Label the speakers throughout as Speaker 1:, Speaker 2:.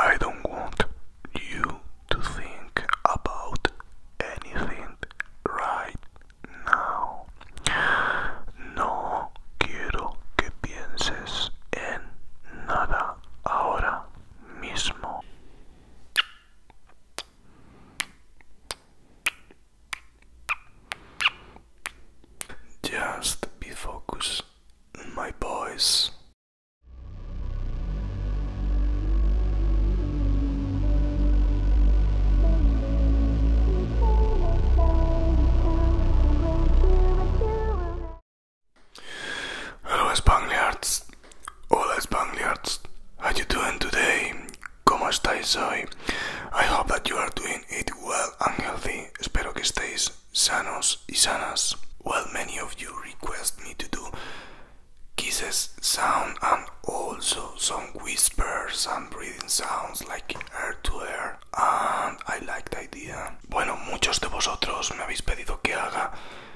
Speaker 1: I don't want you to think about anything right now. No quiero que pienses en nada ahora mismo. Just be focused, my boys. Hello, Spangliards. Hola Spaniards, how you doing today? ¿Cómo estáis hoy? I hope that you are doing it well and healthy. Espero que estéis sanos y sanas. Well, many of you request me to do kisses sound and also some whispers and breathing sounds like air to air and I like the idea. Bueno, muchos de vosotros me habéis pedido que haga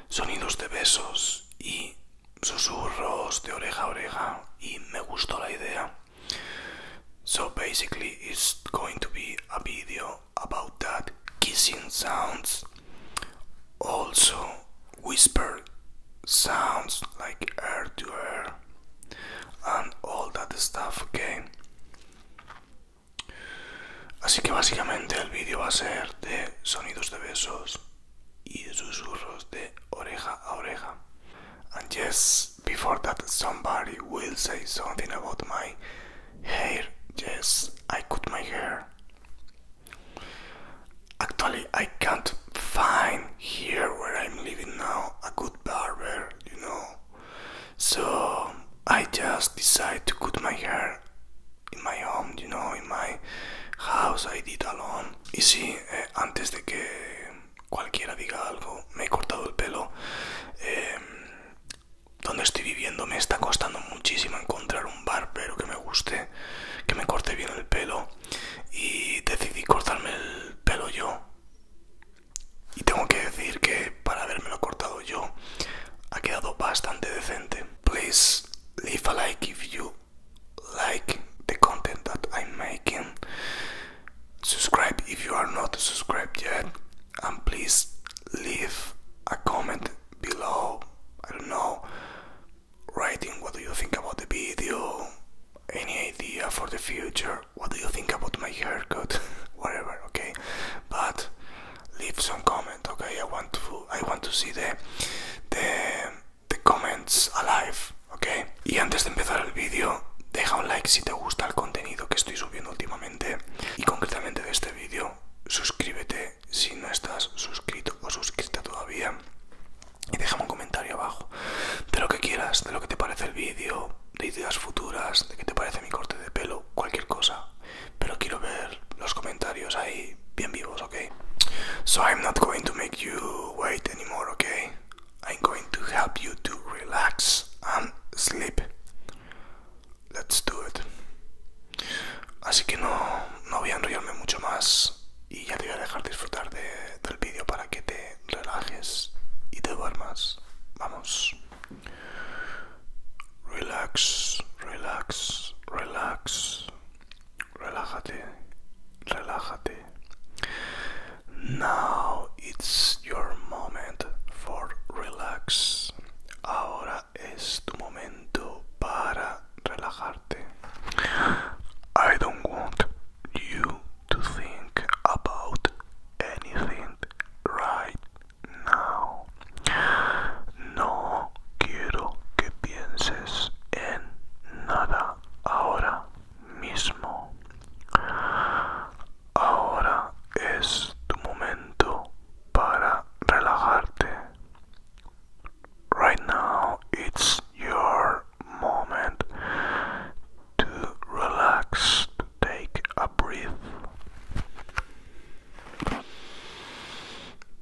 Speaker 1: sonidos de besos y susurros de oreja a oreja y me gustó la idea. So basically it's going to be a video about that kissing sounds. Also whisper sounds like air to air and all that stuff, okay? Así que básicamente el vídeo va a ser de sonidos de besos. And yes, before that, somebody will say something about my hair. Yes, I cut my hair. Actually, I can't find here where I'm living now a good barber, you know. So I just decide to cut my hair in my home, you know, in my house I did alone. Y sí, eh, antes de que cualquiera diga algo, me he cortado el pelo. Em, donde estoy viviendo me está costando muchísimo encontrar un barbero que me guste, que me corte bien el pelo. Y decidí cortarme el pelo yo. Y tengo que decir que para habérmelo cortado yo ha quedado bastante decente. Please leave a like if you like the content that I'm making. Subscribe if you are not subscribed yet, and please leave a comment below. I don't know, writing what do you think about the video, any idea for the future, what do you think about my haircut, whatever, okay? But leave some comment okay i want to see the comments alive okay y antes de empezar el vídeo deja un like si te gusta el contenido que estoy subiendo últimamente y concretamente de este vídeo suscríbete si no estás suscrito o suscrita todavía y déjame un comentario abajo de lo que quieras, de lo que te parece el vídeo, de ideas futuras, de qué te parece mi corte de pelo, cualquier cosa pero quiero ver los comentarios ahí bien vivos, okay? So I'm not going to make you wait anymore, okay? I'm going to help you to relax and sleep. Let's do it. Así que no, no voy a enrollarme mucho más y ya te voy a dejar disfrutar de, del vídeo para que te relajes y te duermas. Vamos. Relax, relax, relax. Relájate, relájate. Now it's your moment for relax. Ahora es tu momento para relajarte. I don't want you to think about anything right No, No quiero que pienses en nada ahora mismo. Ahora es tu momento para relajarte. Right now it's your moment to relax, to take a breath.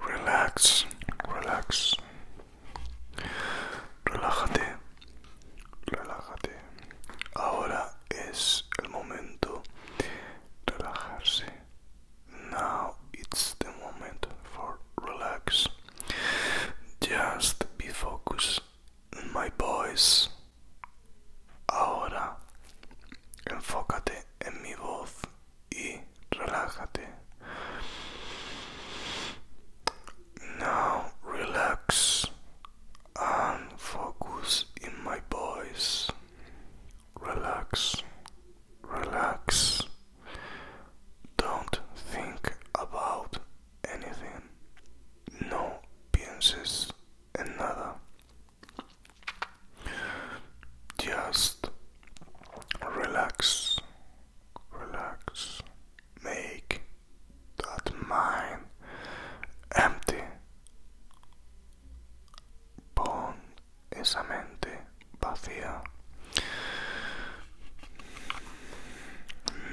Speaker 1: Relax, relax. Relájate, relájate. Ahora es el momento de relajarse. Now it's the moment for relax. Just be focused in my voice. Ahora, enfócate en mi voz y relájate. Now relax and focus in my voice relax, relax. Don't think about anything. No pienses en nada. Just relax, relax. Make that mind empty. Born esa mente vacía.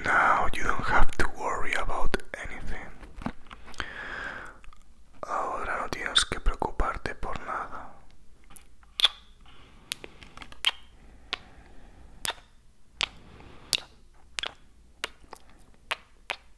Speaker 1: Now you don't have to worry about anything. Ahora no tienes que preocuparte por nada.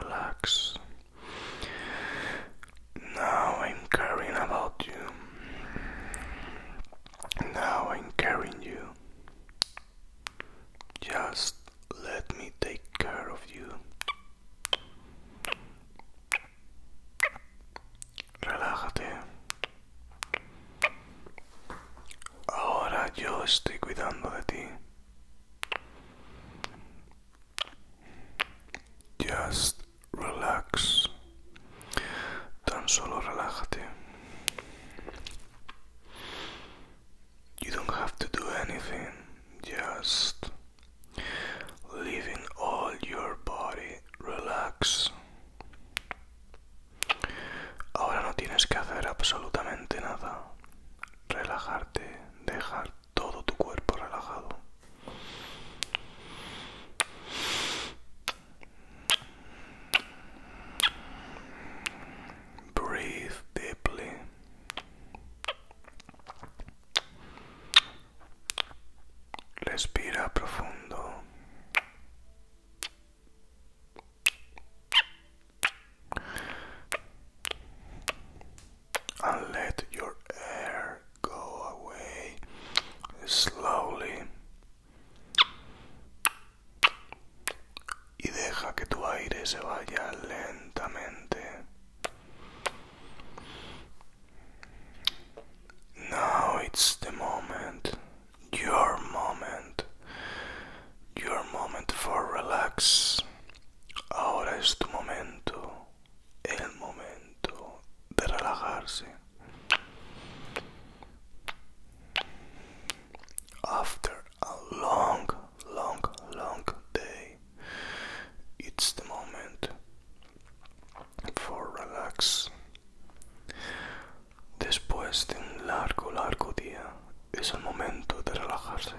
Speaker 1: Relax. Now I'm caring about you. Now I'm caring you. Just let me take care of you relájate. Ahora yo estoy cuidando de ti. Just relax. Tan solo relájate. You don't have to do anything. Just leaving all your body relax. Ahora no tienes que hacer absolutamente nada. Relajarte, dejar todo tu cuerpo relajado. Breathe deeply. Respira profundo. And let your air go away slowly. Y deja que tu aire se vaya lentamente. Now it's the moment, your moment, your moment for relax. Ahora es tu momento, el momento de relajarse. After a long, long, long day, it's the moment for relax. Después de un largo, largo día, es el momento de relajarse.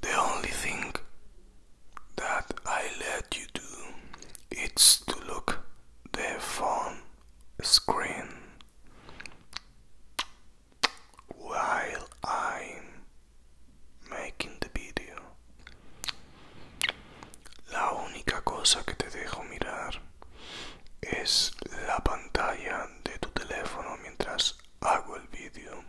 Speaker 1: The only thing that I let it's you do to look the phone screen while I'm making the video. La única cosa que te dejo mirar es la pantalla de tu teléfono mientras hago el video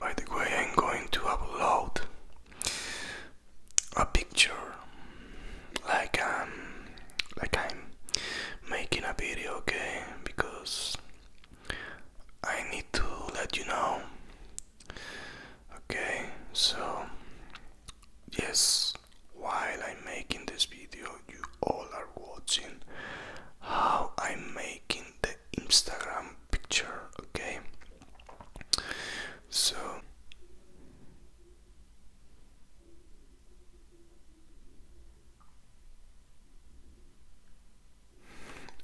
Speaker 1: By the way, I'm going to upload a picture like um like I'm making a video, okay? Because I need to let you know. Okay, so yes, while I'm making this video, you all are watching how I'm making the Instagram picture, okay? So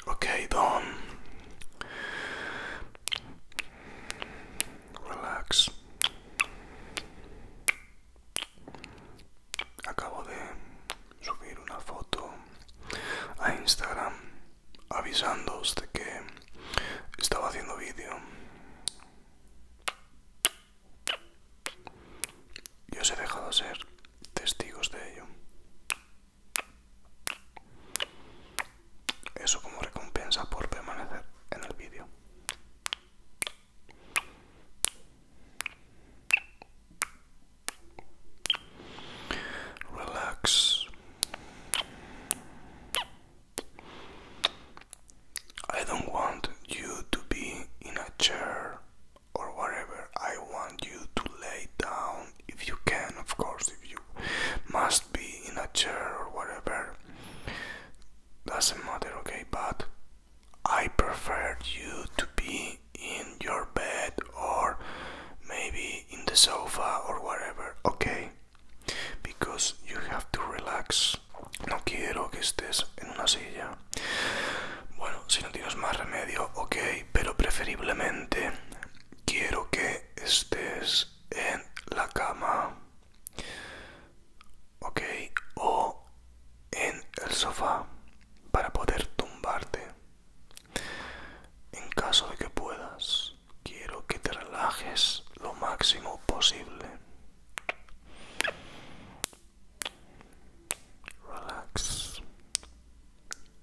Speaker 1: Okay, Don. Relax. acabo de subir una foto a Instagram avisándoos de que estaba haciendo vídeo. Y os he dejado ser testigos de ello. Eso como recompensa por permanecer en el vídeo. Relax. I don't want you to be in a chair or whatever. I want you to lay down if you can, of course, if you must be in a chair or whatever. Doesn't matter, okay? But I prefer you to be in your bed or maybe in the sofa or whatever, okay? Because you have to relax. No quiero que estés en una silla. Bueno, si no tienes más remedio, ok, pero preferiblemente quiero que estés en la cama. Ok, o en el sofá. para poder tumbarte. En caso de que puedas, quiero que te relajes lo máximo posible. Relax.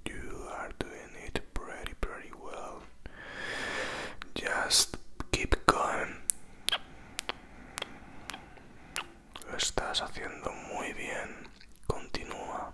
Speaker 1: You are doing it pretty, pretty well. Just keep going. Lo estás haciendo muy bien. Continúa.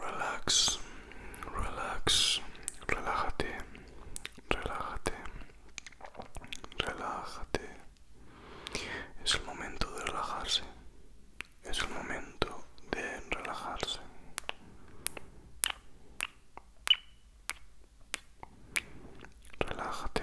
Speaker 1: Relax, relax, relájate, relájate, relájate. Es el momento de relajarse. Es el momento de relajarse. Relájate.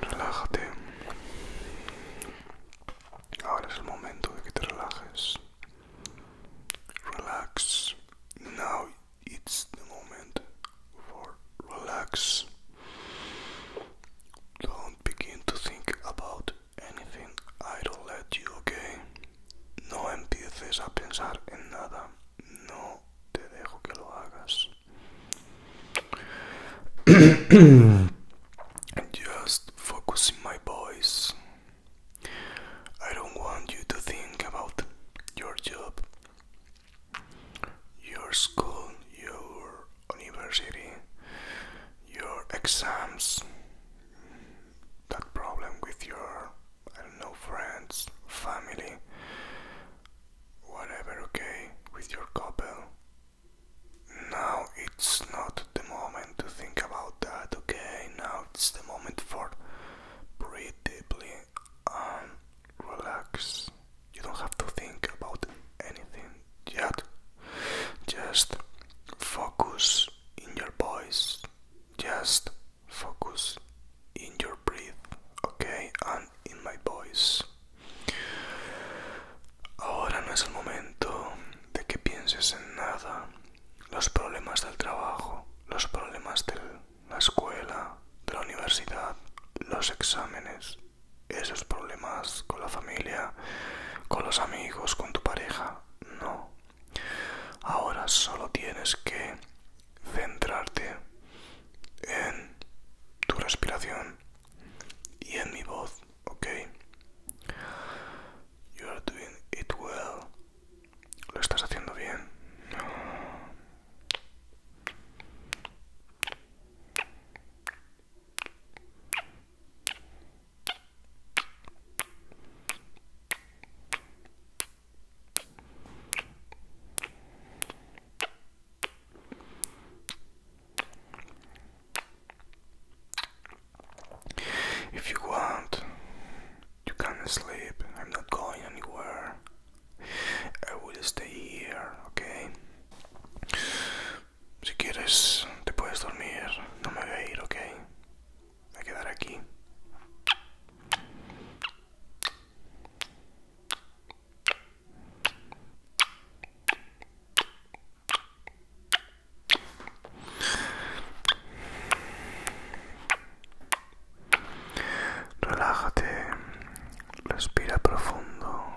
Speaker 1: Relájate. Ahora es el momento de que te relajes. Relax. Now it's the moment for relax. Don't begin to think about anything. I don't let you, okay? No empieces a pensar en nada. No te dejo que lo hagas. Just focusing my voice. I don't want you to think about your job, your school, your university, your exams, that problem with your, I don't know, friends, family, whatever, okay, with your couple. Now it's not the moment to think about that, okay? Now it's the moment for breathe deeply and um, relax. You don't have to think about anything yet. Just focus in your voice. Just focus in your breath, okay? And in my voice. Ahora no es el momento de que pienses en nada. Los problemas del trabajo, los problemas de la escuela, de la universidad, los exámenes, esos problemas con la familia, con los amigos, con tu pareja. No. Ahora solo tienes que centrarte en tu respiración y en mi voz, ¿ok? You are doing it well. Lo estás haciendo bien. If you want, you can sleep. I'm not going anywhere. I will stay here, okay? Si quieres, te puedes dormir. No me voy a ir, ¿ok? Me voy a quedar aquí. Relájate, respira profundo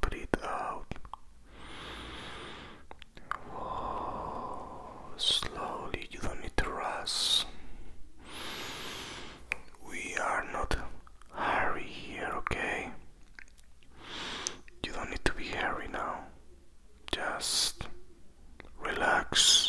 Speaker 1: Breathe out. Slowly, you don't need to rush. We are not hurry here, okay? You don't need to be hurry now. Just relax.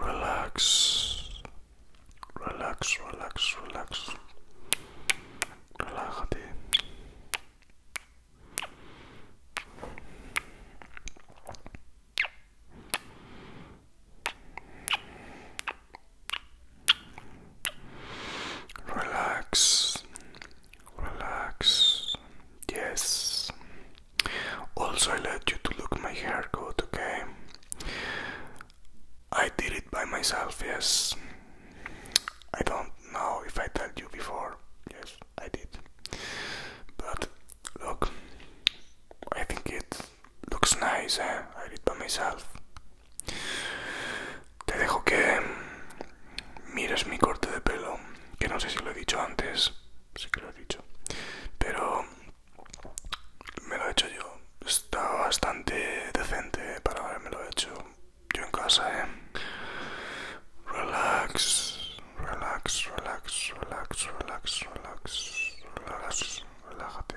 Speaker 1: Relax, relax, relax, relax. Relájate. Relax, Relax. Yes. Also, I let you to look my haircut, okay? I did it by myself, yes. I don't know if I told you before. Yes, I did. But look, I think it looks nice. Eh? I did by myself. Te dejo que mires mi corte de pelo, que no sé si lo he dicho antes, sí que lo he dicho, pero me lo he hecho yo. Está bastante decente para lo hecho yo en casa, ¿eh? Relax, relax, relax, relax, relax, relax, relax, relájate.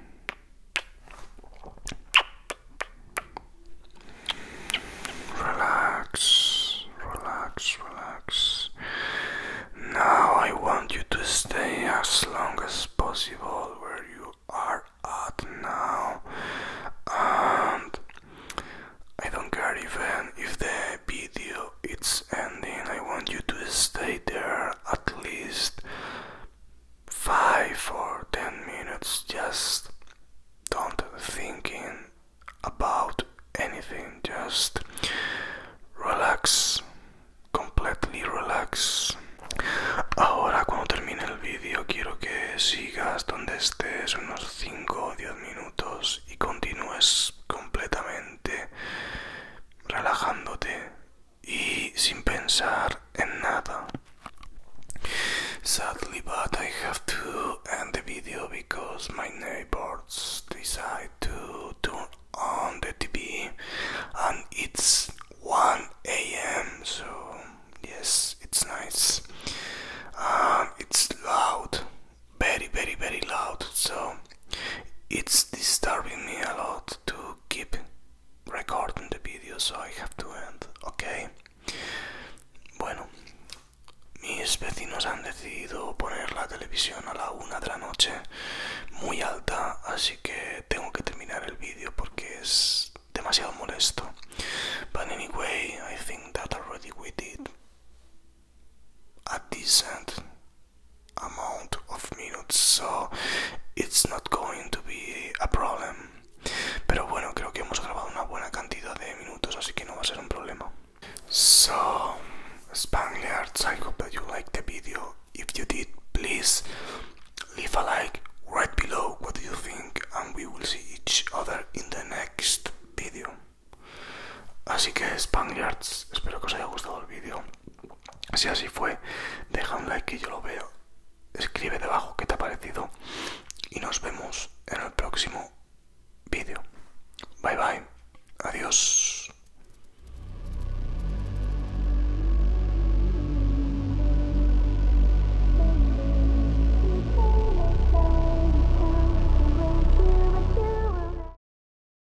Speaker 1: Relax, relax, relax. Now I want you to stay as long as possible where you are at now. And I don't care even if the video it's ending. I want you to stay there at least 5 or 10 minutes just don't thinking about anything just relax completely relax ahora cuando termine el vídeo quiero que sigas donde estés unos 5 o 10 minutos y continúes completamente relajándote Sadly, but I have to end the video because my neighbors decide to turn on the TV and it's 1 a.m. So, yes, it's nice. Um, it's loud, very, very, very loud. So, it's disturbing me a lot. to keep recording the video, so I have to end, okay? Bueno, mis vecinos han decidido poner la televisión a la una de la noche muy alta, así que tengo que terminar el vídeo porque es demasiado molesto. But anyway, I think that already we did this end. amount of minutes so it's not going to be a problem pero bueno creo que hemos grabado una buena cantidad de minutos así que no va a ser un problema so Spaniards I hope that you liked the video if you did please leave a like right below what do you think and we will see each other in the next video así que Spaniards espero que os haya gustado el vídeo Si así fue, deja un like que yo lo veo. Escribe debajo qué te ha parecido. Y nos vemos en el próximo vídeo. Bye bye. Adiós.